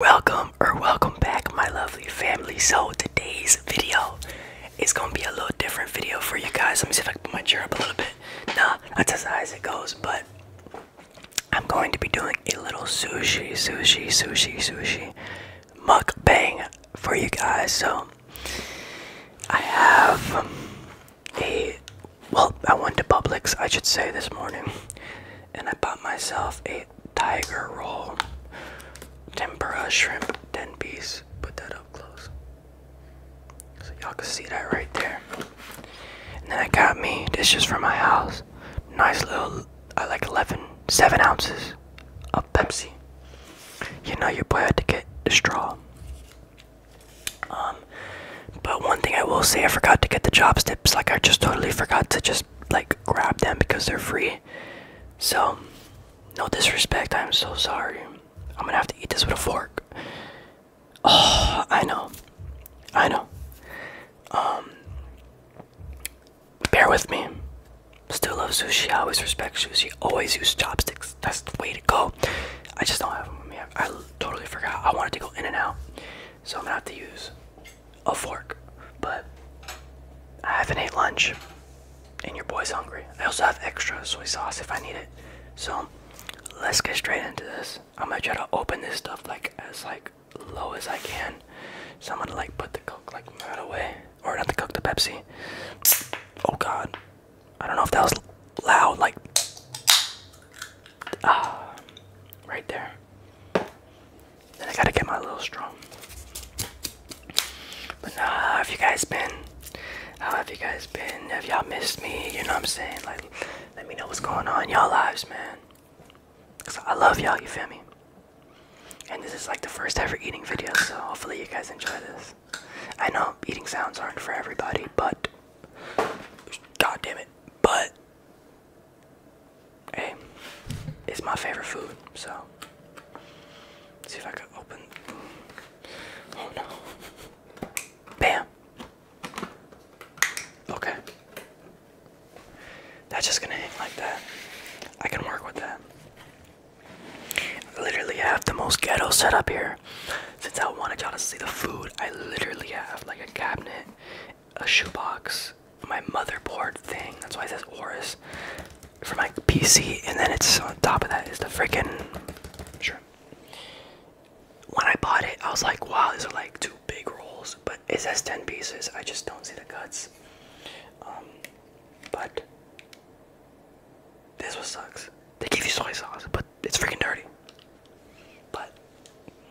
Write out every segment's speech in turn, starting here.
Welcome or welcome back my lovely family. So today's video is gonna be a little different video for you guys. Let me see if I can put my chair up a little bit. Nah, that's as high as it goes, but I'm going to be doing a little sushi, sushi, sushi, sushi mukbang for you guys. So I have a well, I went to Publix, I should say, this morning, and I bought myself a tiger roll, tempura shrimp, 10 piece. Put that up close. So y'all can see that right there. And then I got me, this is for my house. Nice little, I uh, like 11, 7 ounces of Pepsi. You know you're bad to get the straw. Um, but one thing I will say, I forgot to get the chopsticks. Like I just totally forgot to just like grab them because they're free. So, no disrespect, I'm so sorry. I'm gonna have to eat this with a fork. Oh, I know. I know. Um, bear with me. Still love sushi. I always respect sushi. Always use chopsticks. That's the way to go. I just don't have them with I totally forgot. I wanted to go in and out. So I'm gonna have to use a fork, but I haven't ate lunch, and your boy's hungry. I also have extra soy sauce if I need it. So let's get straight into this. I'm gonna try to open this stuff like as like low as I can. So I'm gonna like put the coke like right away, or not the coke, the Pepsi. Oh God, I don't know if that was loud. Like ah, right there. Then I gotta get my little strong. But nah, how have you guys been? How have you guys been? Have y'all missed me? You know what I'm saying? Like, let me know what's going on in y'all lives, man. Cause I love y'all, you feel me? And this is like the first ever eating video, so hopefully you guys enjoy this. I know eating sounds aren't for everybody, but God damn it. But Hey, it's my favorite food, so see if I can open. Oh no. Bam. Okay. That's just gonna hang like that. I can work with that. I literally have the most ghetto set up here. Since I wanted y'all to see the food, I literally have like a cabinet a shoebox, my motherboard thing. That's why it says Oris for my PC, and then it's on top of that is the freaking sure. When I bought it, I was like, wow, these are like two big rolls, but it says 10 pieces. I just don't see the cuts. Um, but this one sucks. They give you soy sauce, but it's freaking dirty. But,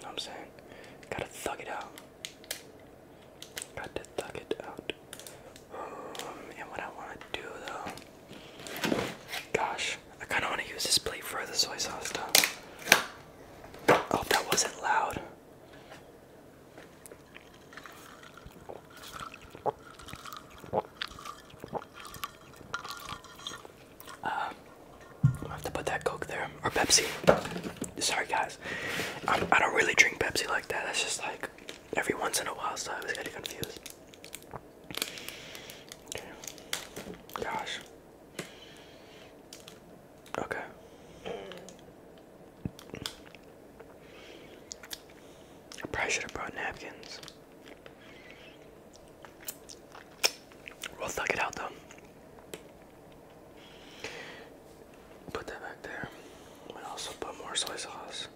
I'm saying? Gotta thug it out. Got to thug it out. Um, and what I want to do though, gosh, I kind of want to use this plate for the soy sauce stuff. I oh, that wasn't loud. Um, i have to put that Coke there or Pepsi. Sorry guys, I'm, I do not really drink Pepsi like that. That's just like every once in a while, so I was getting confused. Gosh. Okay. I probably should have brought napkins. We'll thug it out though. Put that back there. And also put more soy sauce.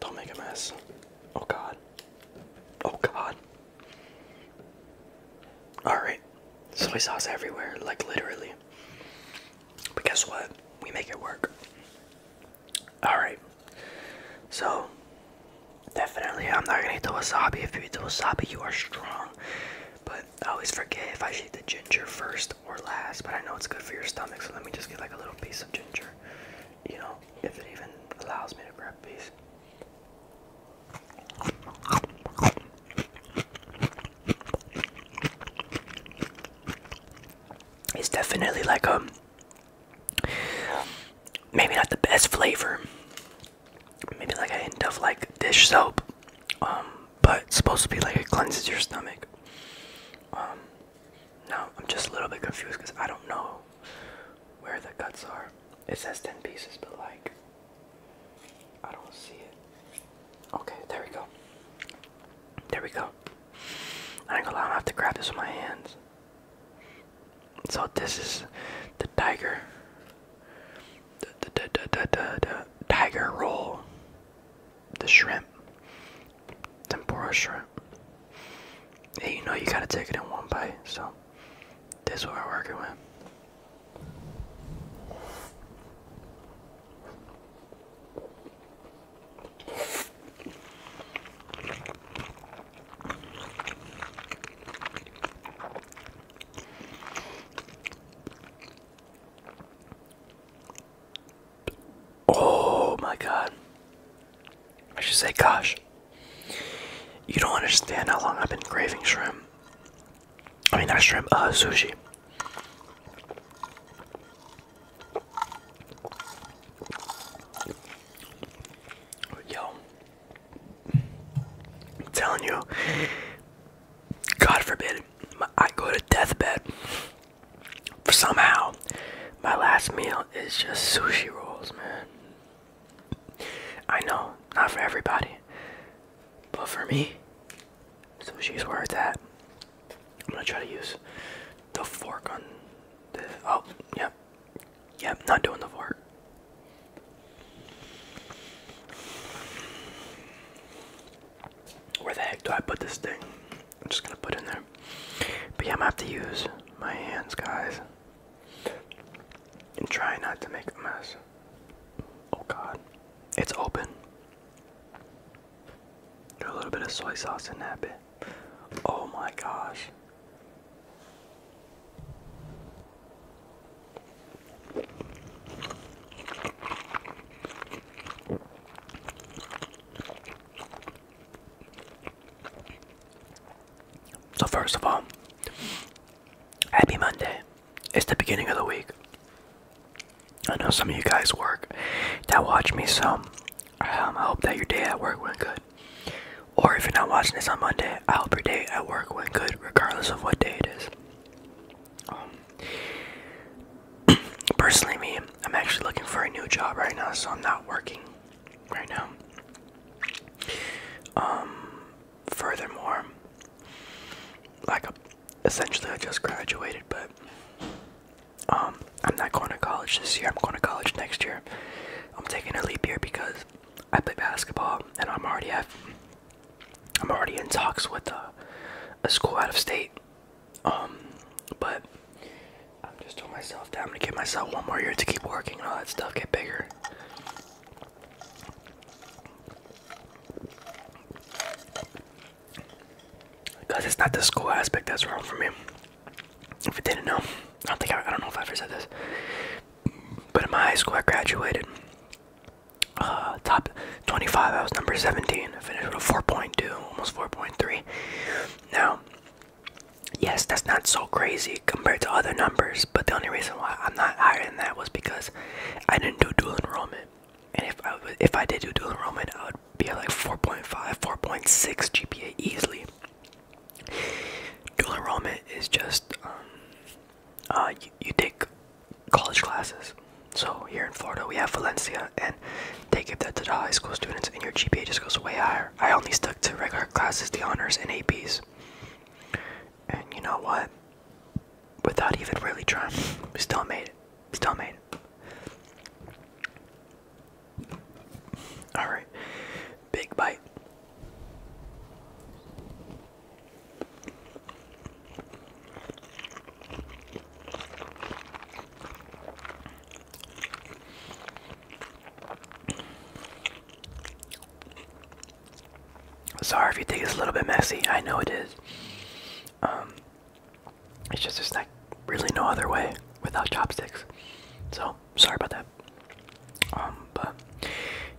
Don't make a mess. Oh god. Oh god. Alright. Soy sauce everywhere, like literally. But guess what? We make it work. Alright. So, definitely, I'm not gonna eat the wasabi. If you eat the wasabi, you are strong. But I always forget if I should eat the ginger first or last. But I know it's good for your stomach, so let me just get like a little piece of ginger. You know, if it even allows me to grab a piece. It's definitely like a um, maybe not the best flavor. Maybe like a hint of like dish soap, um, but supposed to be like it cleanses your stomach. Um, now I'm just a little bit confused because I don't know where the guts are. It says ten pieces, but like I don't see it. Okay, there we go. There we go. I ain't gonna lie, I have to grab this with my hands. So this is the tiger, the, the, the, the, the, tiger roll, the shrimp, tempura shrimp. Yeah, you know you gotta take it in one bite, so this is what we're working with. Oh my god. I should say, gosh. You don't understand how long I've been craving shrimp. I mean, not shrimp, uh, sushi. Yo, I'm telling you, God forbid, I go to deathbed. For somehow, my last meal is just sushi rolls, man. I know, not for everybody, but for me, sushi is where it's I'm gonna try to use the fork on the. Oh, yep, Yep, not doing the fart. Where the heck do I put this thing? I'm just gonna put it in there. But yeah, I'm gonna have to use my hands, guys. And try not to make a mess. Oh god. It's open. Got a little bit of soy sauce in that bit. Oh my gosh. So, first of all, happy Monday. It's the beginning of the week. I know some of you guys work that watch me, so um, I hope that your day at work went good. Or if you're not watching this on Monday, I hope your day at work went good, regardless of what day it is. Um, personally, me, I'm actually looking for a new job right now, so I'm not working right now. Um, furthermore, like essentially I just graduated, but um, I'm not going to college this year. I'm going to college next year. I'm taking a leap here because I play basketball and I'm already I'm already in talks with a, school out of state. Um, but I'm just telling myself that I'm gonna give myself one more year to keep working and all that stuff get bigger. Because it's not the school aspect that's wrong for me. If you didn't know, I don't think I, don't know if I ever said this, but in my high school I graduated uh, top 25. I was number 17. I finished with a 4.2, almost 4.3. Now, yes, that's not so crazy compared to other numbers, but the only reason why I'm not higher than that was because I didn't do dual enrollment. And if I if I did do dual enrollment, I would be like 4.5, 4.6 GPA easily. Dual enrollment is just um, uh, you, take college classes. So here in Florida, we have Valencia, and they give that to the high school students, and your GPA just goes way higher. I only stuck to regular classes, the honors, and APs. And you know what? Without even really trying, we still made it. Still made it. All right, big bite. Sorry if you think it's a little bit messy. I know it is. Um, it's just a snack really no other way without chopsticks. So sorry about that. Um, but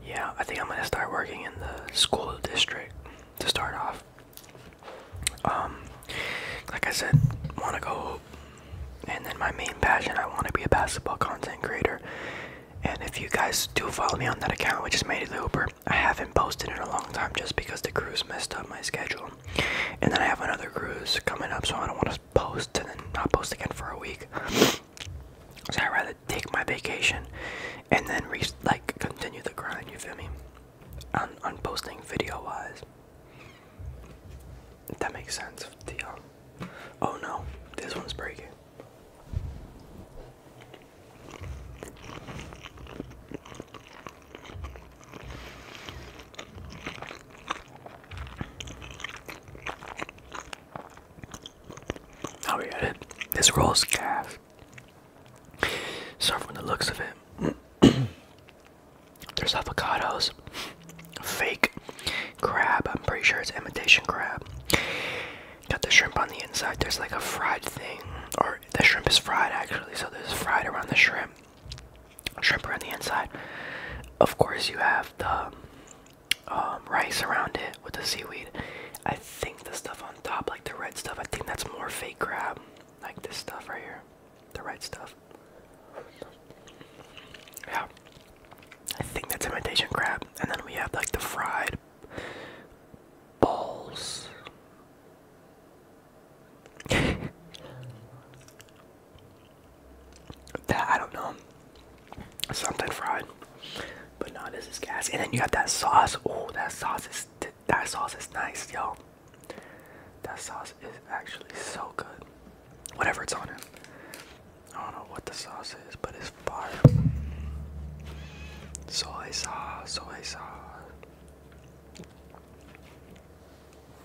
yeah, I think I'm gonna start working in the school district to start off. Um, like I said, wanna go, and then my main passion, I wanna be a basketball content creator. And if you guys do follow me on that account, which is Made it Looper, I haven't posted in a long time just because the crews messed up my schedule. And then I have another cruise coming up, so I don't want to post and then not post again for a week. So I'd rather take my vacation and then re like continue the grind, you feel me? On on posting video wise. that makes sense. The um, oh no, this one's breaking. Oh yeah, this roll's calf. So from the looks of it, there's avocados, fake crab. I'm pretty sure it's imitation crab. Got the shrimp on the inside. There's like a fried thing, or the shrimp is fried actually. So there's fried around the shrimp shrimp around the inside. Of course, you have the um, rice around it with the seaweed. I think the stuff on top, like the red stuff, I think that's more fake crab. Like this stuff right here, the red stuff. Yeah, I think that's imitation crab. And then we have like the fried balls. that I don't know. Something fried, but no, this is gas. And then you have that sauce. Oh, that sauce is that sauce is nice, yo. That sauce is actually so good. Whatever it's on it. I don't know what the sauce is, but it's fire. Soy sauce, soy sauce.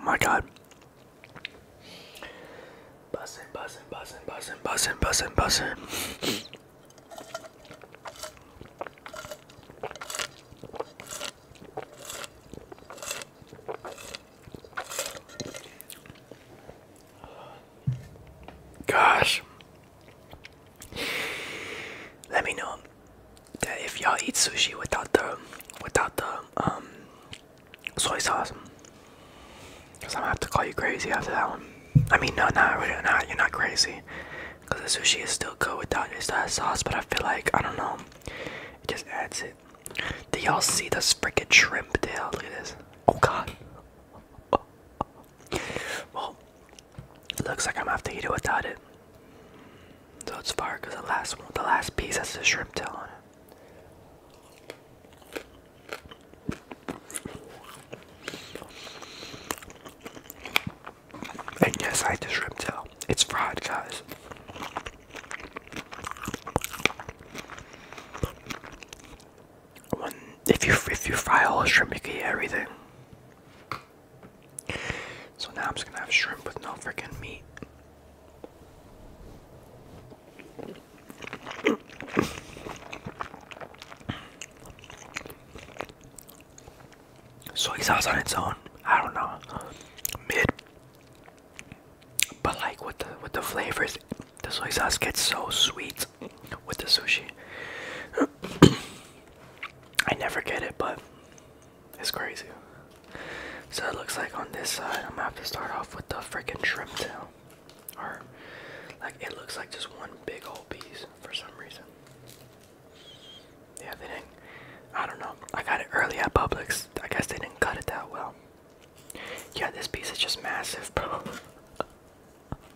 My God. Bussin', bussin', bussin', bussin', bussin', bussin', bussin'. Gosh. Let me know that if y'all eat sushi without the without the um soy sauce. Cause I'm gonna have to call you crazy after that one. I mean, no, no, no, no you're not crazy. Cause the sushi is still good without just that sauce, but I feel like I don't know, it just adds it. Do y'all see this freaking shrimp tail? Look at this. Oh God. Well, it looks like I'm gonna have to eat it without it. So it's far, cause the last one, the last piece has the shrimp tail on it. And yes, I had the shrimp tail. It's fried, guys. if you if you fry all the shrimp, you get everything. So now I'm just gonna have shrimp with no freaking meat. Soy sauce on its own, I don't know, mid. But like with the with the flavors, the soy sauce gets so sweet with the sushi. I never get it, but it's crazy. So it looks like on this side, I'm gonna have to start off with the freaking shrimp tail. Or, like, it looks like just one big old piece for some reason. Yeah, they didn't. I don't know. I got it early at Publix. I guess they didn't cut it that well. Yeah, this piece is just massive, bro.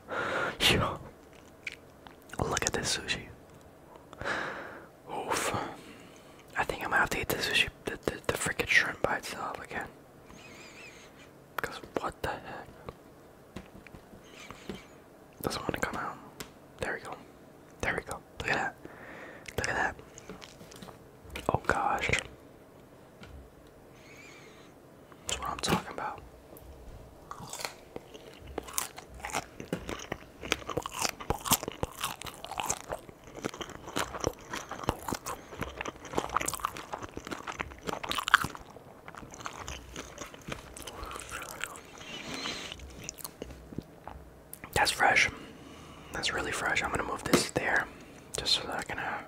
Yo. Look at this sushi. Oof. I think I'm gonna have to eat this the, the freaking shrimp by itself again. Because what the heck? Doesn't want to come out. There we go. There we go. Look at that. Look at that. Oh gosh. That's what I'm talking about. That's fresh. That's really fresh. I'm gonna move this there just so that I can have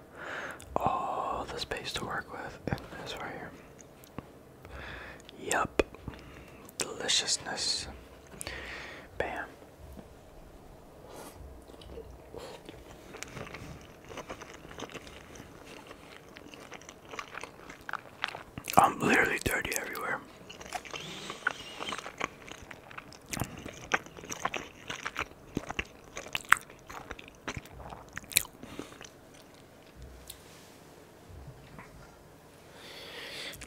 all the space to work with. And this right here. Yup. Deliciousness. Bam. I'm literally dirty everywhere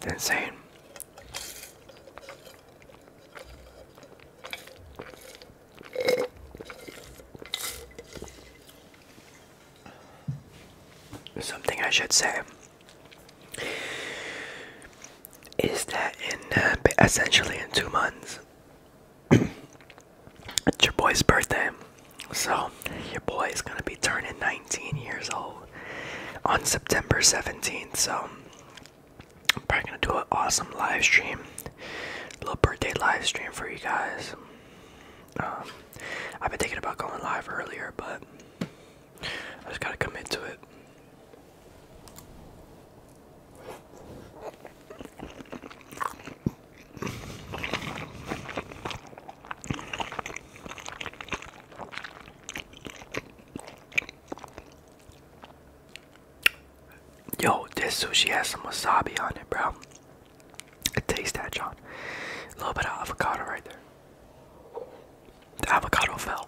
insane. Something I should say is that in uh, essentially in two months, it's your boy's birthday. So, your boy is gonna be turning 19 years old on September 17th. So I'm probably gonna do an awesome live stream, little birthday live stream for you guys. Um, I've been thinking about going live earlier, but I just gotta commit to it. Yo, this sushi has some wasabi on it, bro. It tastes that, John. A little bit of avocado right there. The avocado fell.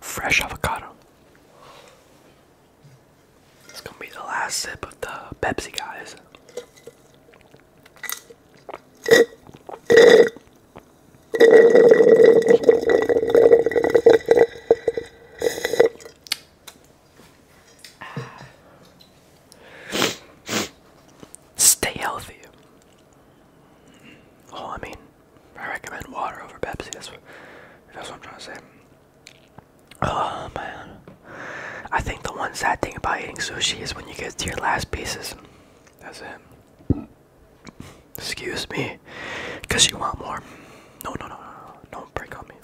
Fresh avocado. It's gonna be the last sip of the Pepsi, guys. Stay healthy. Oh, I mean, I recommend water over Pepsi. That's what, that's what I'm trying to say. Oh man. I think the one sad thing about eating sushi is when you get to your last pieces. That's it. Excuse me. Because you want more. No, no, no, no, no. Don't break on me.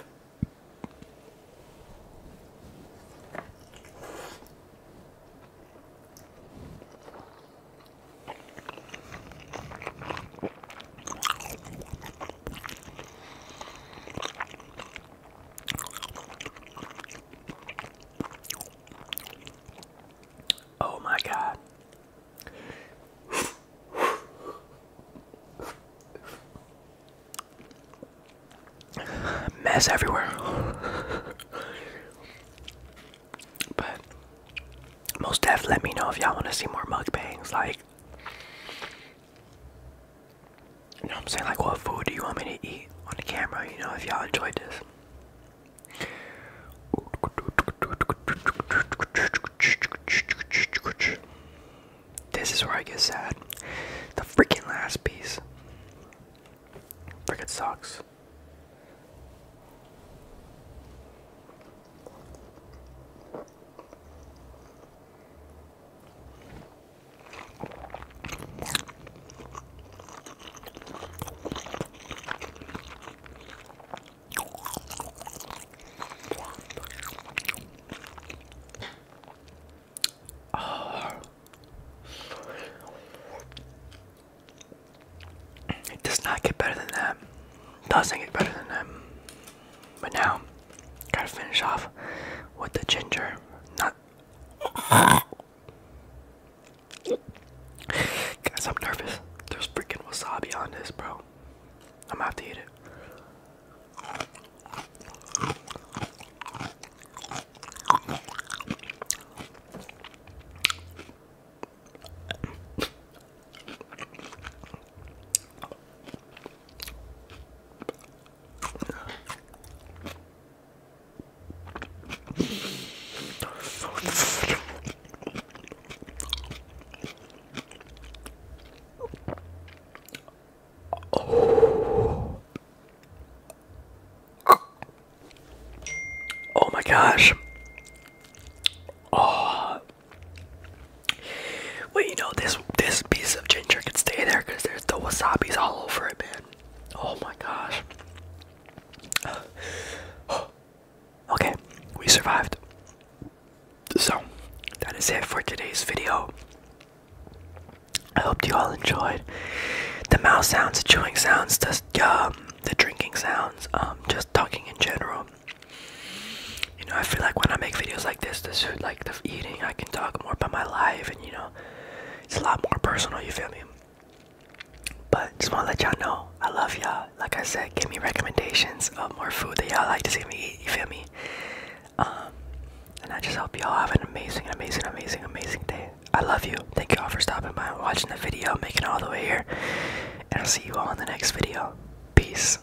Oh my God. Mess everywhere. but most def let me know if y'all want to see more mug bangs, Like you know I'm saying? Like, what food do you want me to eat on the camera? You know, if y'all enjoyed this. This is where I get sad. The freaking last piece. Freaking sucks. It does not get better than that. Doesn't get better than that. But now, gotta finish off with the ginger. Not. Guys, I'm nervous. There's freaking wasabi on this, bro. I'm going have to eat it. Oh. my gosh. Oh, Wait, you know this this piece of ginger can stay there because there's the wasabi's all over it, man. Oh my gosh. Okay, we survived. So that is it for today's video. I hope you all enjoyed the mouth sounds, the chewing sounds, the um, the drinking sounds, um, just talking in general you know, I feel like when I make videos like this, this food, like the eating, I can talk more about my life, and you know, it's a lot more personal. You feel me? But just wanna let y'all know, I love y'all. Like I said, give me recommendations of more food that y'all like to see me eat. You feel me? Um, and I just hope y'all have an amazing, amazing, amazing, amazing day. I love you. Thank y'all for stopping by watching the video, making it all the way here. And I'll see you all in the next video. Peace.